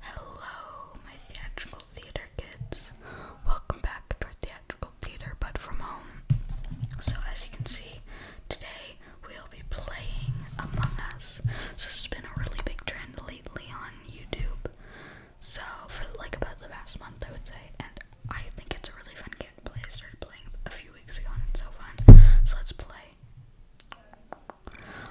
Hello, my theatrical theater kids. Welcome back to our theatrical theater, but from home. So, as you can see, today we'll be playing Among Us. So this has been a really big trend lately on YouTube. So, for like about the past month, I would say, and I think it's a really fun game to play. I started playing a few weeks ago, and it's so fun. So let's play.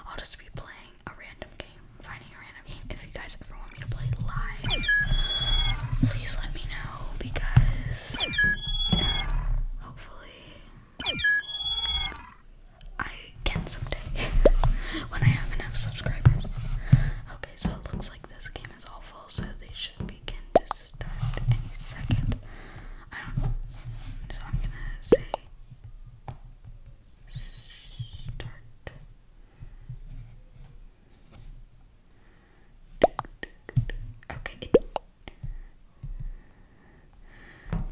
I'll just be playing a random game, finding a random game. If you guys ever want me to play live, please let me know because hopefully I can someday when I have enough subscribers. Okay, so it looks like this game is all full, so they should begin to start any second. So I'm gonna say start. Okay,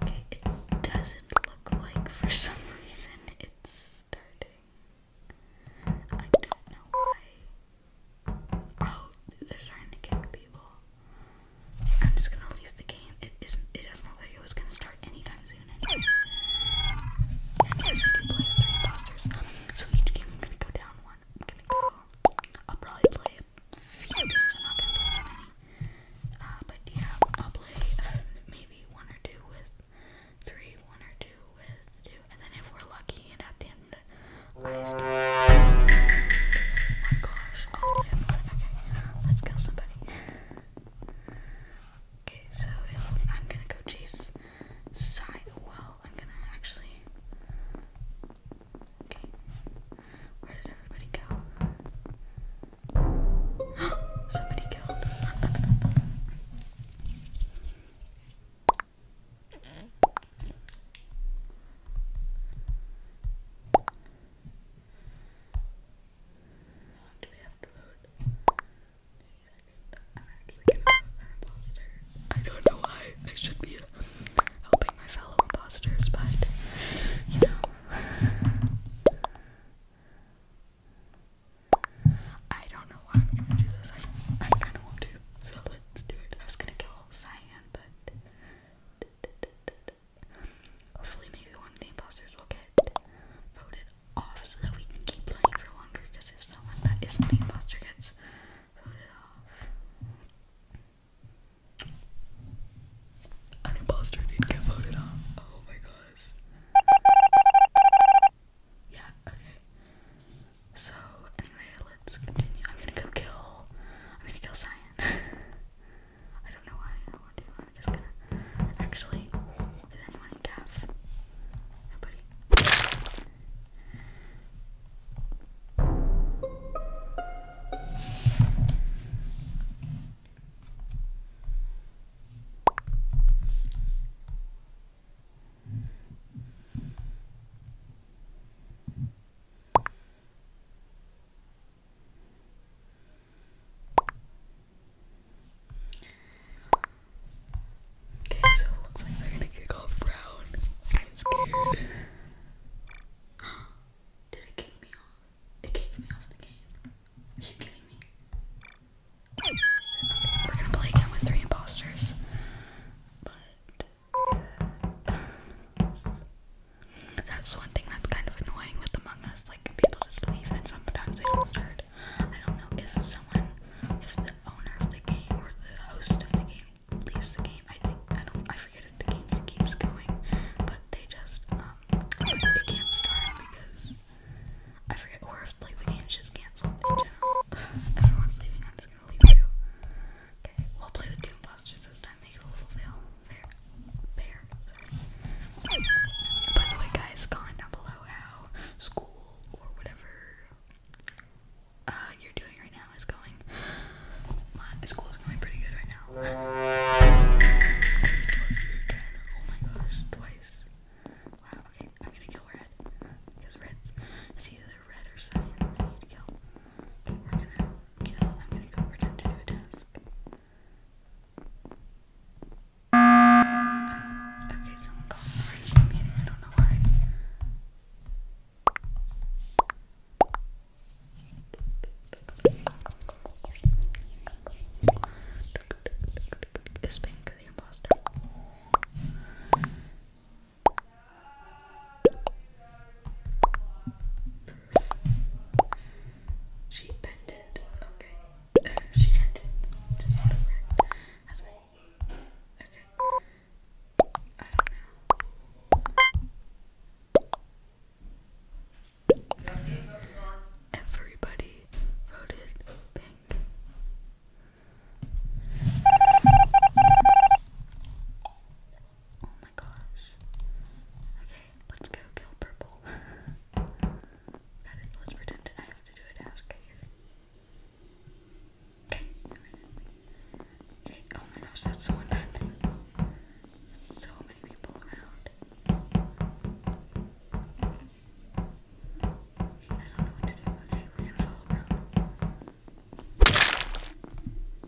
okay, it doesn't look like for some reason it's starting. I don't know why. Oh, they're starting to kick people. I'm just gonna leave the game. It isn't. It doesn't look like it was gonna start anytime soon. And yes, I do play with imposters. So each game, I'm gonna go down one. I'm gonna go. I'll probably play a few games. I'm not gonna play too Uh, but yeah, I'll play um, maybe one or two with three, one or two with two, and then if we're lucky, and at the end of the I stop. Oh my gosh! Oh, okay, let's kill somebody. Okay, so I'm gonna go chase side. Well, I'm gonna actually. Okay, where did everybody go? Somebody killed i don't know why I should be helping my fellow imposters, but you know. I don't know why I'm gonna do this. I kind of want to, so let's do it. I was gonna kill Cyan, but Hopefully, maybe one of the imposters will get voted off so that we can keep playing for longer. Because if someone that isn't the imposter gets voted off, an imposter did get voted off. Oh my gosh. Yeah, okay. So, anyway, let's continue. I'm gonna go kill. I'm gonna kill Cyan. I don't know why I don't want to. I'm just gonna. Actually, is anyone in calf? Nobody. Okay, so it looks like they're gonna kick off brown. I'm scared. Did it kick me off? It kicked me off the game. Are you kidding me? We're gonna play again with three imposters. But. That's one thing that's kind of annoying with Among Us. Like people just leave, and sometimes they don't start. I don't know if someone, if the owner of the game or the host of the game leaves the game. I think I don't. I forget if the game keeps going, but they just um, it can't start because I forget, or if like the game just cancels. in general. Everyone's leaving. I'm just gonna leave too. Okay, we'll play with Doom Busters this time. Make a little fail fair, By the way, guys, comment down below how school or whatever uh, you're doing right now is going. My school is going pretty good right now. oh my gosh, twice. Wow, okay, I'm gonna kill red. Because red's it's either red or cyan that need to kill. we're gonna kill. I'm gonna go return to do a task. Okay, someone called for it. I don't know why. Is Pink the imposter? She bended. Okay. she bended. Just out of Okay. I don't know. Everybody voted pink. Oh my gosh. Okay, let's go kill purple. Let's pretend I have to do a task Okay. Okay. Oh my gosh, that's so unhappy. So many people around. I don't know what to do. Okay, we're gonna follow around.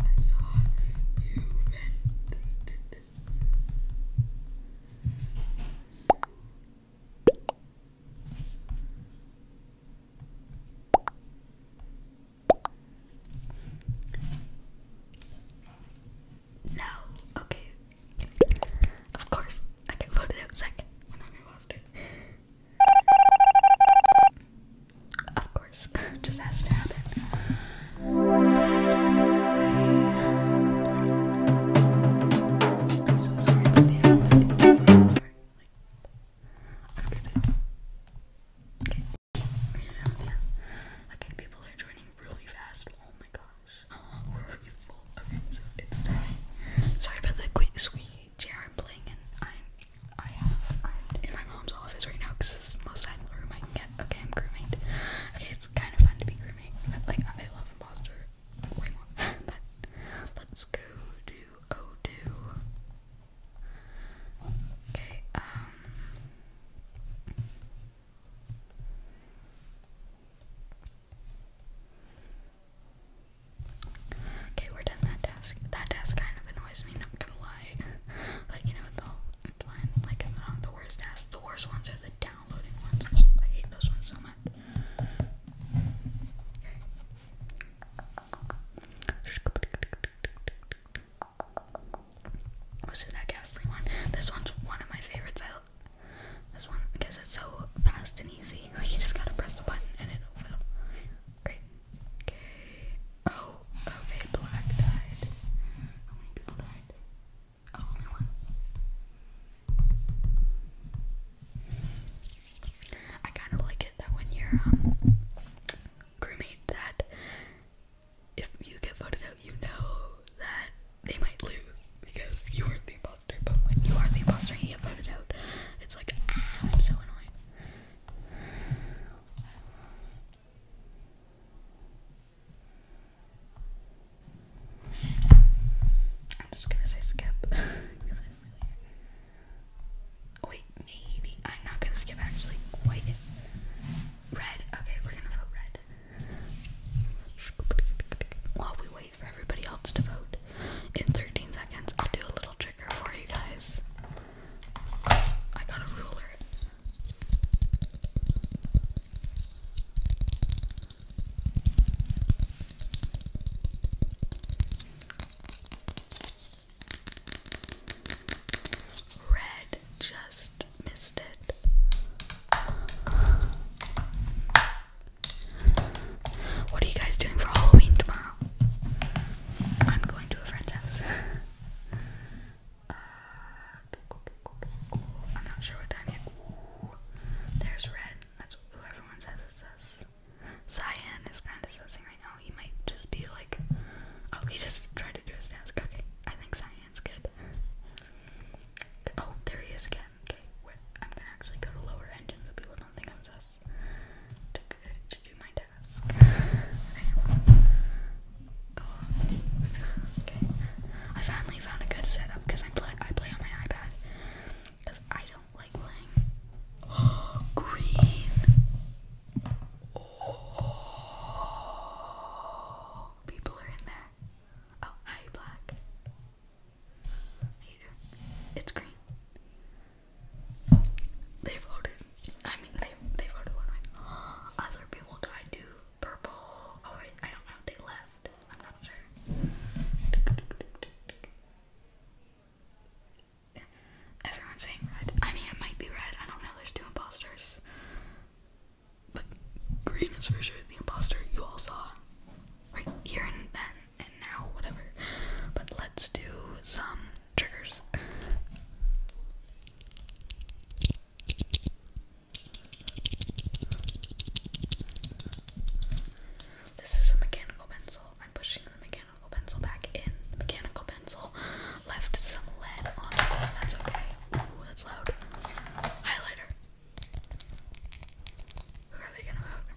I saw you meant. No, okay. Of course, I can put out second when I lost it. Of course, just has to happen. I'm so sorry about the Okay. people are joining really fast. Oh my gosh. we're really full. Okay, it's time. Sorry about the quick squeeze chair I'm playing in, I'm, I am in my mom's office right now because this is the most silent room I can get. Okay, I'm grooming. Okay, it's kind of fun to be grooming. like, I love imposter way more. but let's go to Odoo. Okay, um, Okay, we're done that task. That task kind of annoys me, not gonna lie. but you know what though? It's fine. Like it's not the worst tasks. The worst ones are the downloading ones. I hate those ones so much. Okay. that ghastly one? This one's one of my favorites. I this one because it's so fast and easy. Like you just gotta press the button and it'll fill. Great. Okay. Oh, okay, black died. How many people died? Oh, only one. I kind of like it that when you're um crewmate that if you get voted out, you know that they might lose because you weren't the but when you are the imposter and you voted out, it's like, ah, I'm so annoying. just gonna say skip. Wait, maybe. I'm not gonna skip actually. White. Red. Okay, we're gonna vote red. While we wait for everybody else to vote. In 13 seconds, I'll do a little trick for you guys. I got a ruler. Red just missed it. What are you guys doing for Halloween tomorrow? I'm going to a friend's house. I'm not sure what time yet. there's Red. That's who everyone says it says. Cyan is kind of sussing right now. He might just be like, oh, he just tried to do his task. Okay, I think Cyan's good. Oh, there he is again okay, I'm gonna actually go to lower engine so people don't think I'm sus to, do my task. okay, I finally found a good setup because I play I play on my iPad because I don't like playing. green. Oh, people are in there. Oh, hi, black it's green. They voted. I mean, they they voted one way. Other people tried to purple. Oh wait, I don't know. They left. I'm not sure. Everyone's saying red. I mean, it might be red. I don't know. There's two imposters. But green is for sure the imposter you all saw right here and then and now, whatever. But let's do some triggers. This is a mechanical pencil. I'm pushing the mechanical pencil back in. mechanical pencil left some lead on That's okay. Ooh, that's loud. Highlighter. Who are they gonna vote?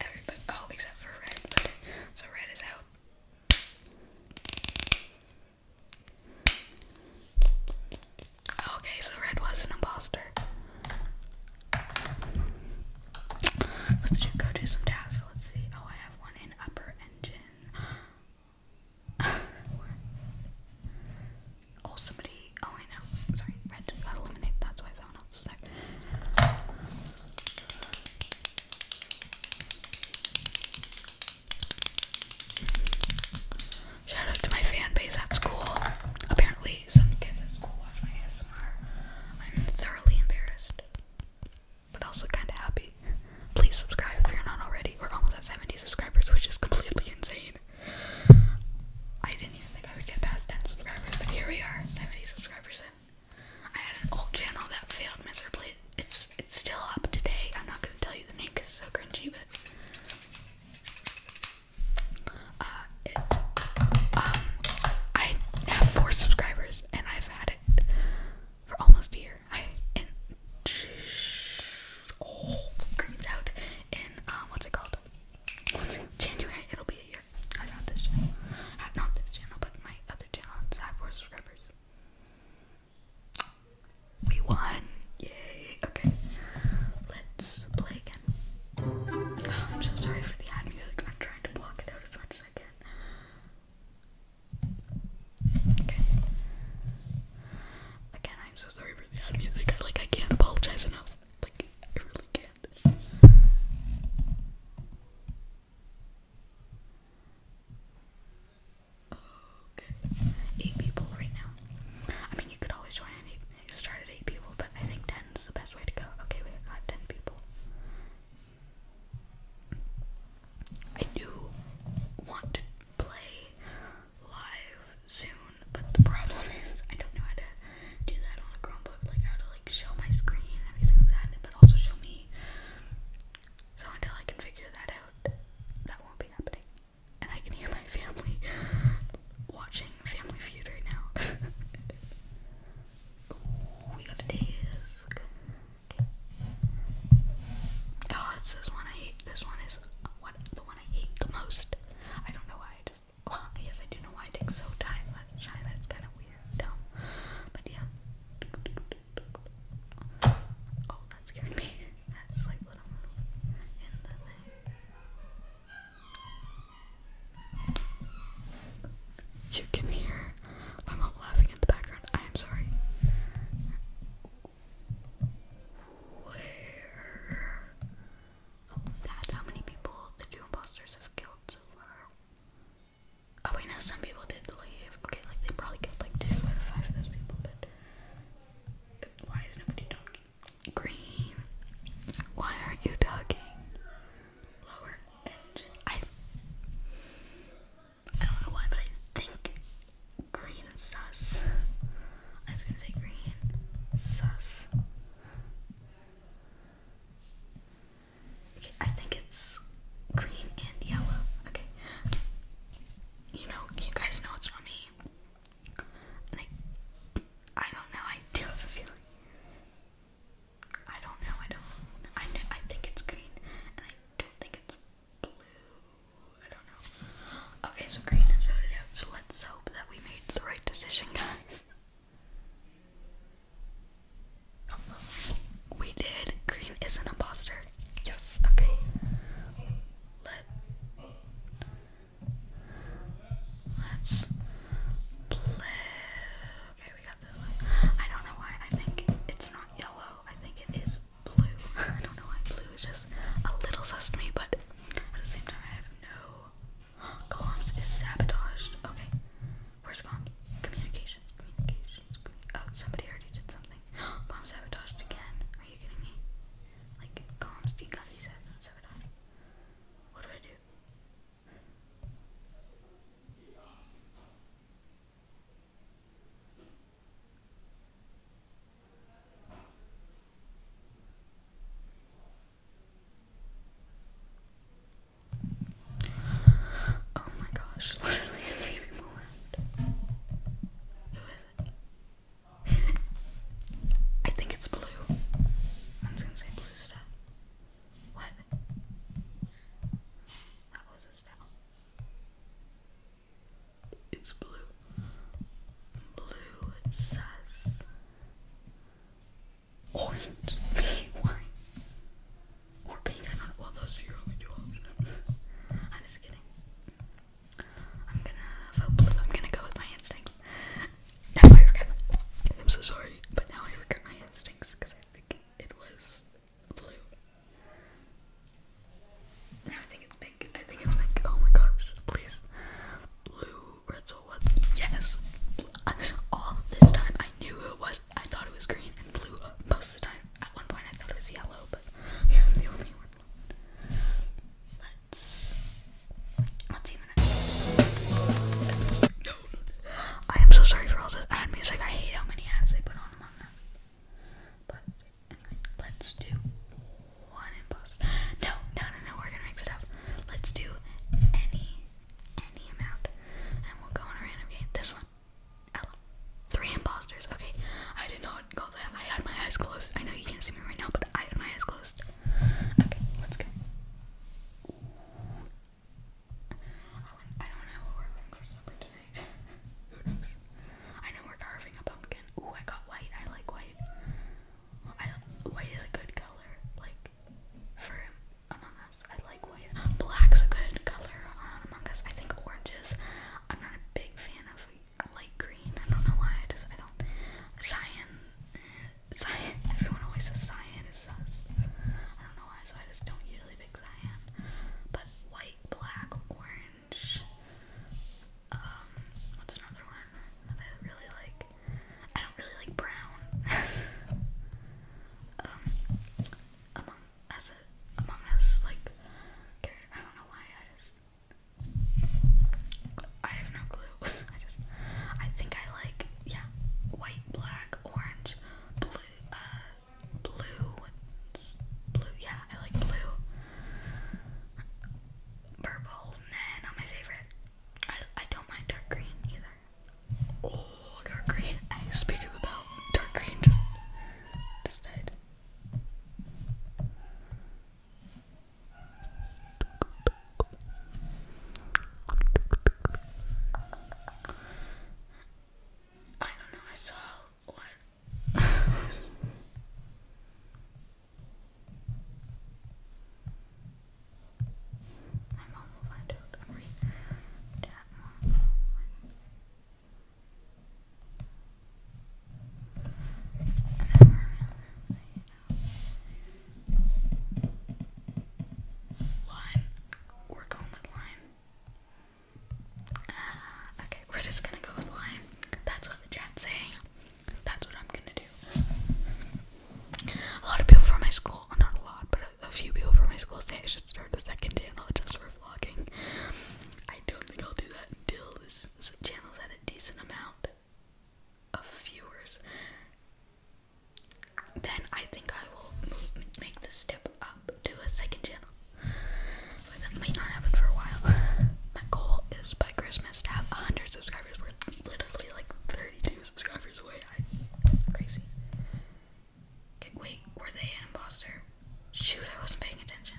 Everybody, oh, except for red, so red is out. Okay, so red was an imposter. Let's just go do some tasks. Let's see. Oh, I have one in upper engine. oh, somebody. Oh, I know. Sorry, red just got eliminated. That's why someone else is there. Shout to my fan base at school. Apparently, some kids at school watch my ASMR. I'm thoroughly embarrassed, but also kind of happy. Please subscribe if you're not already. We're almost at 70 subscribers, which is completely insane. I didn't even think I would get past 10 subscribers, but here we are, 70 subscribers I had an old channel that failed miserably. It's it's still up today. I'm not gonna tell you the name because it's so cringy, but uh, um, I have four subscribers and I've had it for almost a year. I oh, green's out in um, what's it called? What's it? January? It'll be a year. I got this channel. Not this channel, but my other channel. It's four subscribers. We won! Yay! Okay, let's play again. Oh, I'm so sorry for the ad music. I'm trying to block it out as much as I can. Okay. Again, I'm so sorry for the ad music. Like, I can't apologize enough. Like, I really can't. eight people right now. I mean, you could always join eight I started 8 people, but I think 10 is the best way to go. Okay, we got 10 people. I do want to play live soon, but the problem is I don't know how to do that on a Chromebook, like how to like show my screen and everything like that, but also show me. So until I can figure that out, that won't be happening. And I can hear my family watching Family Feud right now. we got a disc. Oh, it's this one I hate. This one is the one I hate the most. I don't know why. well, yes, I do know why. It so time. it's kind of weird, dumb. But yeah. Oh, that scared me. That's like little you can hear my mom laughing in the background. I am sorry. that's how many people the two imposters have killed so far. Oh wait, no, some people did leave. Okay, like they probably killed like two out of five of those people, but why is nobody talking? Green. Why aren't you talking? Lower engine. I. don't know why, but I think green is sus. I was gonna say green. Sus. Okay, I think it's green and yellow. Okay. You know, you guys know it's not me. I don't know. I do have a feeling. I don't know. I don't. I know. I think it's green, I don't think it's blue. I don't know. Okay, so green is voted out. So let's hope that we made the right decision, guys. We did. Green is an imposter. Yes. Okay. Let. Let's play. Okay, we got this I don't know why. I think it's not yellow. I think it is blue. I don't know why blue is just a little sus to me, but at the same time, I have no. Comms is sabotaged. Okay, where's comms? Communications, communications. Commun oh, somebody already did something. comms sabotaged again. Are you kidding me? Like comms, do you sabotaged? What do I do? Oh my gosh, literally three people left. Who is it? I think it's blue. I'm gonna say blue stuff. What? That was a style. It's blue. Blue says orange, why? Or pink, I Well, those are only two options. I'm just kidding. I'm gonna vote blue. I'm gonna go with my instincts. Now I regret I'm so sorry, but now I regret my instincts because I think it was blue. Now I think it's pink. I think it's pink. Oh my gosh, please. Blue Ritzel was yes. All this time I knew it was. I thought it was green and blue most of the time. At one point I thought it was yellow, but yeah, i the only one. I am so sorry for all the ad music. I hate how many ads they put on them. let's do one imposter. No, no, no, no. We're gonna mix it up. Let's do any, any amount, and we'll go on a random game. This one, Ella. Three imposters. Okay, I did not go that. I had my eyes closed. I know you can't see me right now, but I had my eyes closed. Okay, let's go. I don't know what we're having for supper tonight. Who knows? I know we're carving a pumpkin. Ooh, I got white. I like white. I white is a good color. Like for Among Us, I like white. Black's a good color Among Us. I think oranges. I'm not a big fan of light green. I don't know why. I just I don't. Cyan, cyan. Everyone always says cyan is sus. I don't know why. So I just don't usually pick cyan. But white, black, orange. Um, what's another one that I really like? I don't really like brown. Um, among as among us like I don't know why. I just I have no clue. I just, I think I like, yeah, white, black, orange, blue, uh, blue, blue, yeah, I like blue, purple, and not my favorite. I, I don't mind dark green either. Oh, dark green. I speak of the belt, Dark green just, just died. I don't know, I saw what. My mom will find out. I'm reading Lime. We're going with lime. Ah, okay, we're just gonna go with lime. That's what the chat's saying. That's what I'm gonna do. A lot of people from my school, not a lot, but a, few people from my school say I should start a second channel just for vlogging. I don't think I'll do that until this, this channel's at a decent amount of viewers, then I think I will move, make the step up to a second channel. But that might not happen for a while. My goal is by Christmas to have 100 subscribers. we literally like 32 subscribers away. I, crazy. Okay, wait, were they an imposter? Shoot, I wasn't paying attention.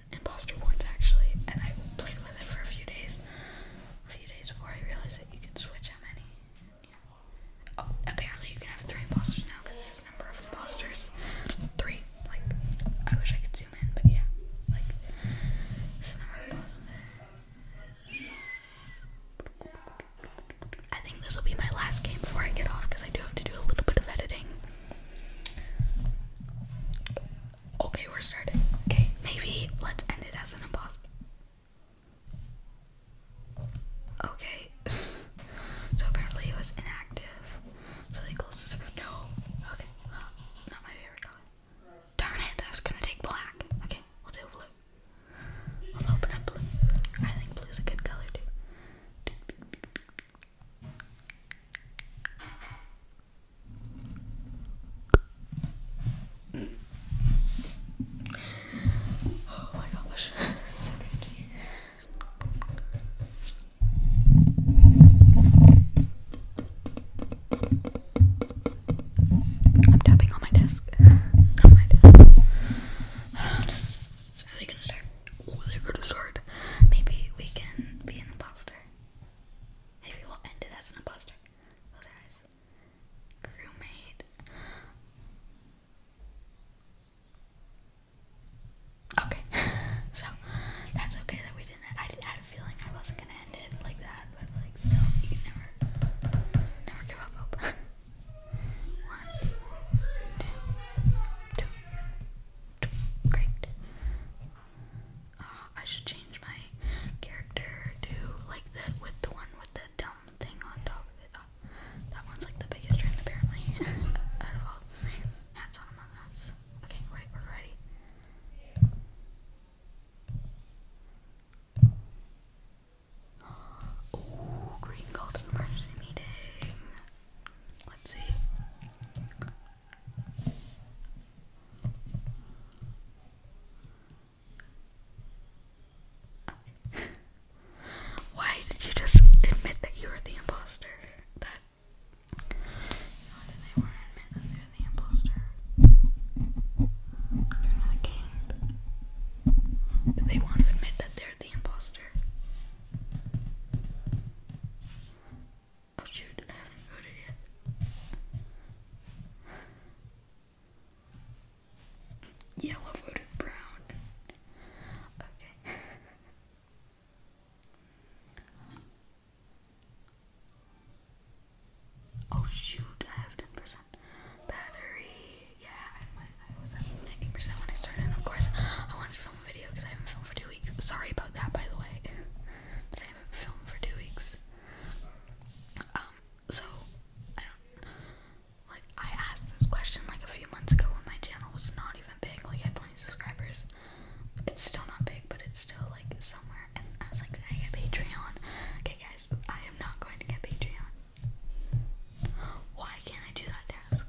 imposter once actually, and I played with it for a few days. A few days before I realized that you could switch how many. Oh, apparently you can have three imposters now because it says number of imposters. Three. Like, I wish I could zoom in, but yeah. Like, I think this will be my last game before I get off because I do have to do a little bit of editing. Okay, we're starting. Okay, maybe let's end it as an impossible. Okay. so apparently it was inactive. So they closed no. Okay, not my favorite color. Darn it, I was gonna take black. Okay, we'll do blue. I'll open up blue. I think blue's a good color too. Oh my gosh, I'm tapping on my desk. are they gonna start? Oh, they're gonna start. Maybe we can be an imposter. Maybe we'll end it as an imposter. Close our eyes. Crewmate. Okay, so that's okay that we didn't. I had a feeling I wasn't gonna end it like that, but like still, you never, never give up hope. One, two, two, two, great. Uh, I should change my character to like the with the one with the dumb thing on top of it. that one's like the biggest trend apparently Hats on Among Us. Okay, right, we're ready. Oh, green golden emergency meeting. Let's see. Why did you just admit that you were the imposter? That they want to admit that they're the imposter? they want to admit that they're the imposter? Oh shoot, I haven't voted yet. Yeah, voted brown. Okay. oh shoot, I have 10% battery. Yeah, I, was at 90% when I started. of course, I wanted to film a video because I haven't filmed for two weeks. Sorry about that, by the way. have for two weeks. Um, so I don't like I asked this question like a few months ago when my channel was not even big, like I had 20 subscribers. It's still not big, but it's still like somewhere. And I was like, did I get Patreon? Okay, guys, I am not going to get Patreon. Why can't I do that task?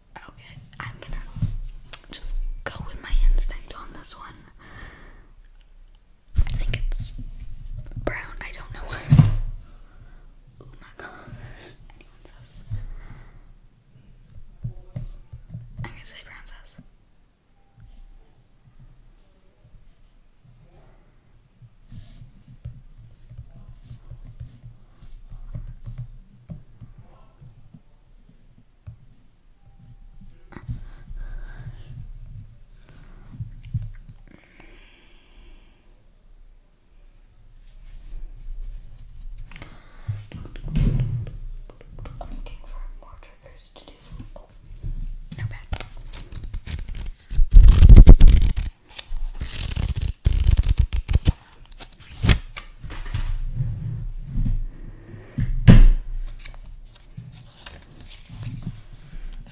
Okay, I'm gonna just go with my instinct on this one. I think it's brown. I don't know what. Oh my gosh. Anyone says. I'm say brown I'm looking for more triggers to do. Oh, no bad.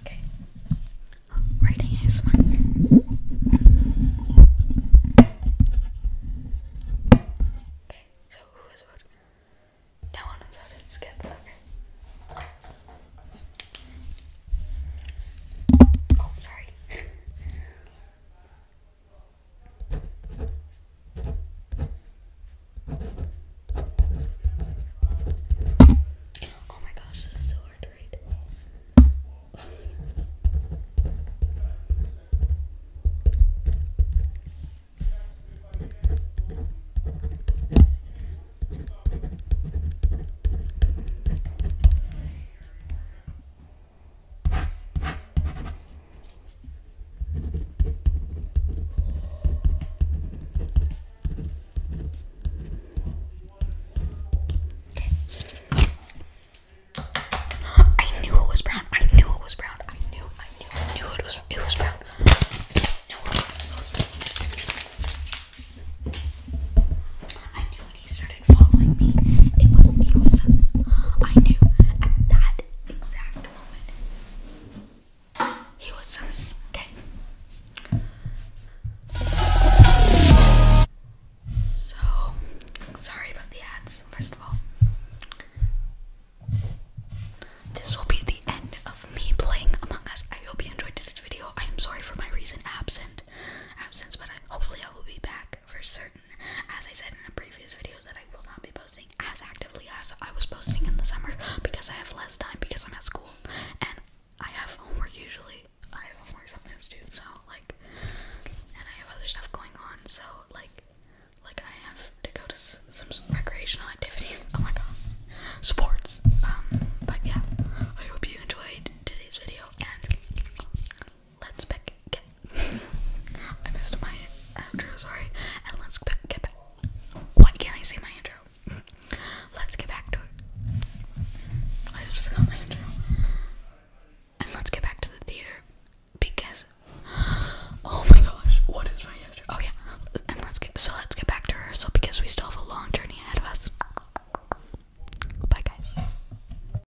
Okay. Writing is smart. Okay, so who is what? No one skip, okay. Oh, sorry. Oh my gosh, this is so hard to read. I knew it was brown. I knew it was brown. I knew. I knew. I knew it was. It was brown. No. I knew he started following me, it was it was us. I knew at that exact moment he was us. Okay. So sorry about the ads. First of all, this will be the end of me playing Among Us. I hope you enjoyed today's video. I am sorry for my recent absent absence, but I, hopefully I will be back for certain. As I said in a previous video that I will not be posting as actively as I was posting in the summer because I have less time because I'm at school and I have homework usually. I have homework sometimes too, so like and I have other stuff going on, so like like I have to go to some recreational activities. Oh my god. Sports. Um but yeah. I hope you enjoyed today's video let's back get. I missed my intro, sorry. And let's back, get back. Why can't I say my intro? let's get back to it. I just forgot my intro. And let's get back to the theater because. Oh my gosh, what is my intro? Oh yeah, and let's get so let's get back to rehearsal because we still have a long journey ahead of us. Bye guys.